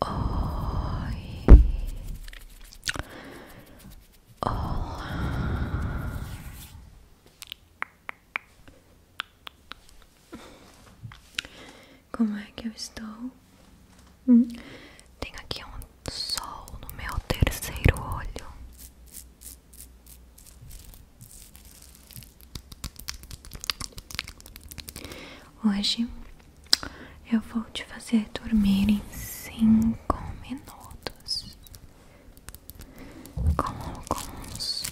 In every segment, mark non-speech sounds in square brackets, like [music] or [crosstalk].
Oi, como é que eu estou? Hum? Tenho aqui um sol no meu terceiro olho. Hoje eu vou te fazer dormir em cinco minutos com alguns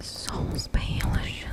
sons bem relaxantes.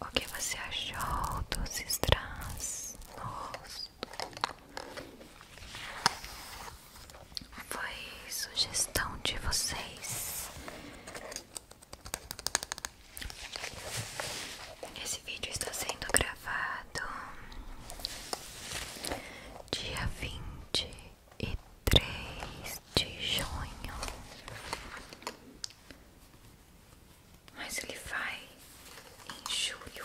O que você achou dos estranhos? Foi sugestão de vocês. Esse vídeo está sendo gravado dia vinte e três de junho. Mas ele vai em julho.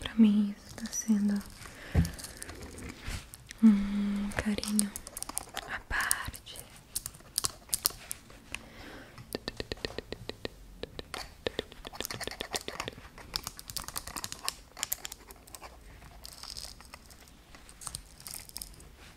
Pra mim está sendo um carinho à parte.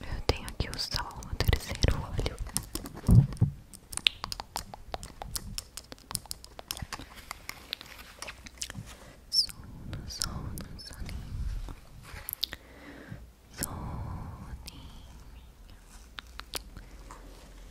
Eu tenho aqui o sol terceiro olho. Sono, sono, soninho. Soninho. Soninho.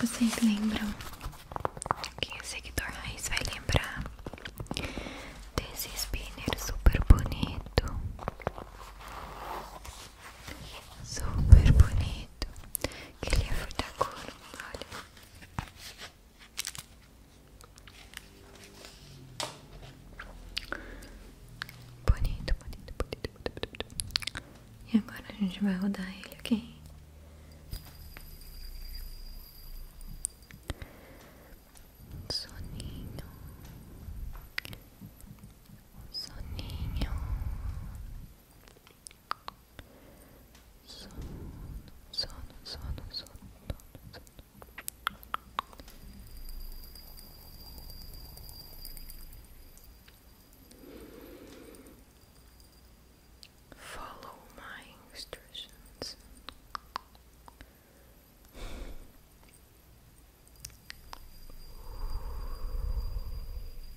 Vocês lembram? Quem é seguidor raiz vai lembrar desse spinner super bonito Super bonito. Que ele é fruta cor, olha. Bonito, bonito, bonito, bonito, bonito. E agora a gente vai rodar ele, ok? Soninho, soninho, sono, sono, Follow my instructions.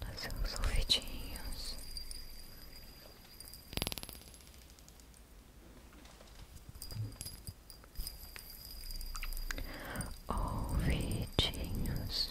Fazer uns ouvidinhos. Ouvidinhos. Ouvidinhos.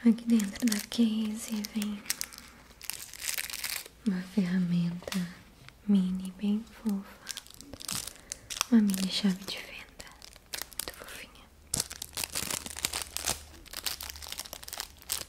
Aqui dentro da case vem uma ferramenta mini bem fofa, uma mini chave de fenda, muito fofinha.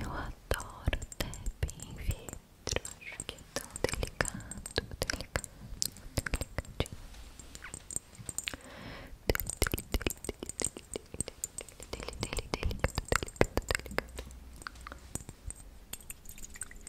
Eu adoro tap em vidro, acho que é tão delicado, delicado, delicadinho. Delicado, delicado, delicado.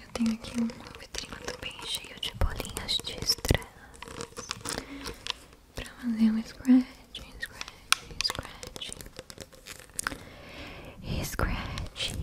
Eu tenho aqui uma vitrine bem cheio de bolinhas de estrelas pra fazer um scratch, scratch, scratch. Scratch. Scratch.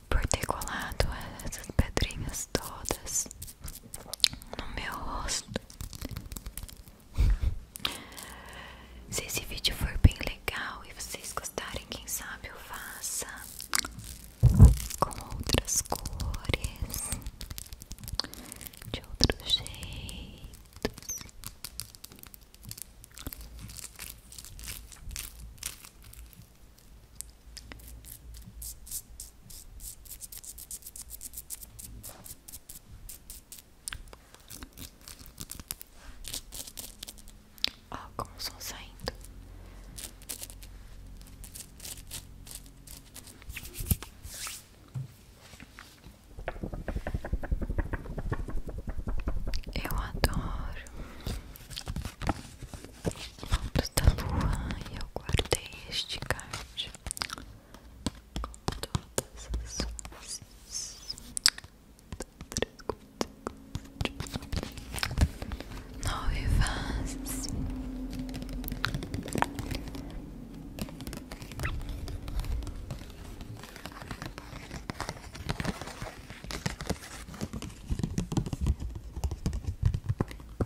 por ter colado essas pedrinhas todas no meu rosto. [laughs] Se esse vídeo for bem legal e vocês gostarem, quem sabe eu faça com outras cores, de outros jeitos. Ó, como estão saindo. Eu adoro. Vamos da lua e eu guardei este card com todas as luzes. Nove fases.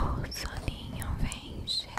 O soninho vem chegando.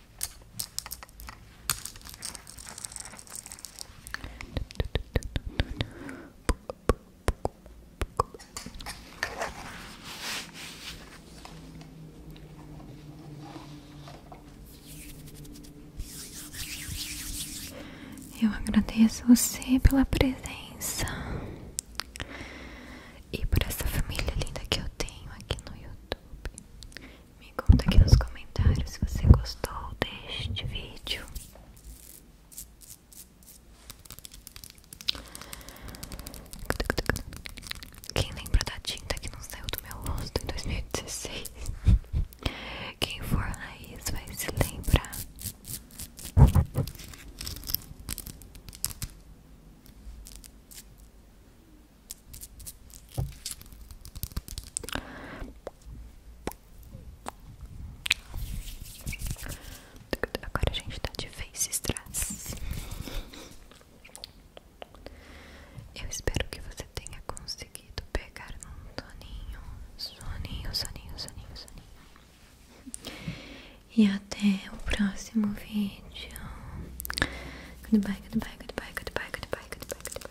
Eu agradeço você pela presença e por essa família linda que eu tenho aqui no YouTube. Me conta aqui nos comentários se você gostou deste vídeo. Quem lembra da tinta que não saiu do meu rosto em 2016? Quem for raiz vai se lembrar. Agora a gente tá de face trás. Eu espero que você tenha conseguido pegar um soninho, soninho, soninho, soninho, soninho. E até o próximo vídeo. Goodbye, goodbye, goodbye, goodbye, goodbye, goodbye. goodbye.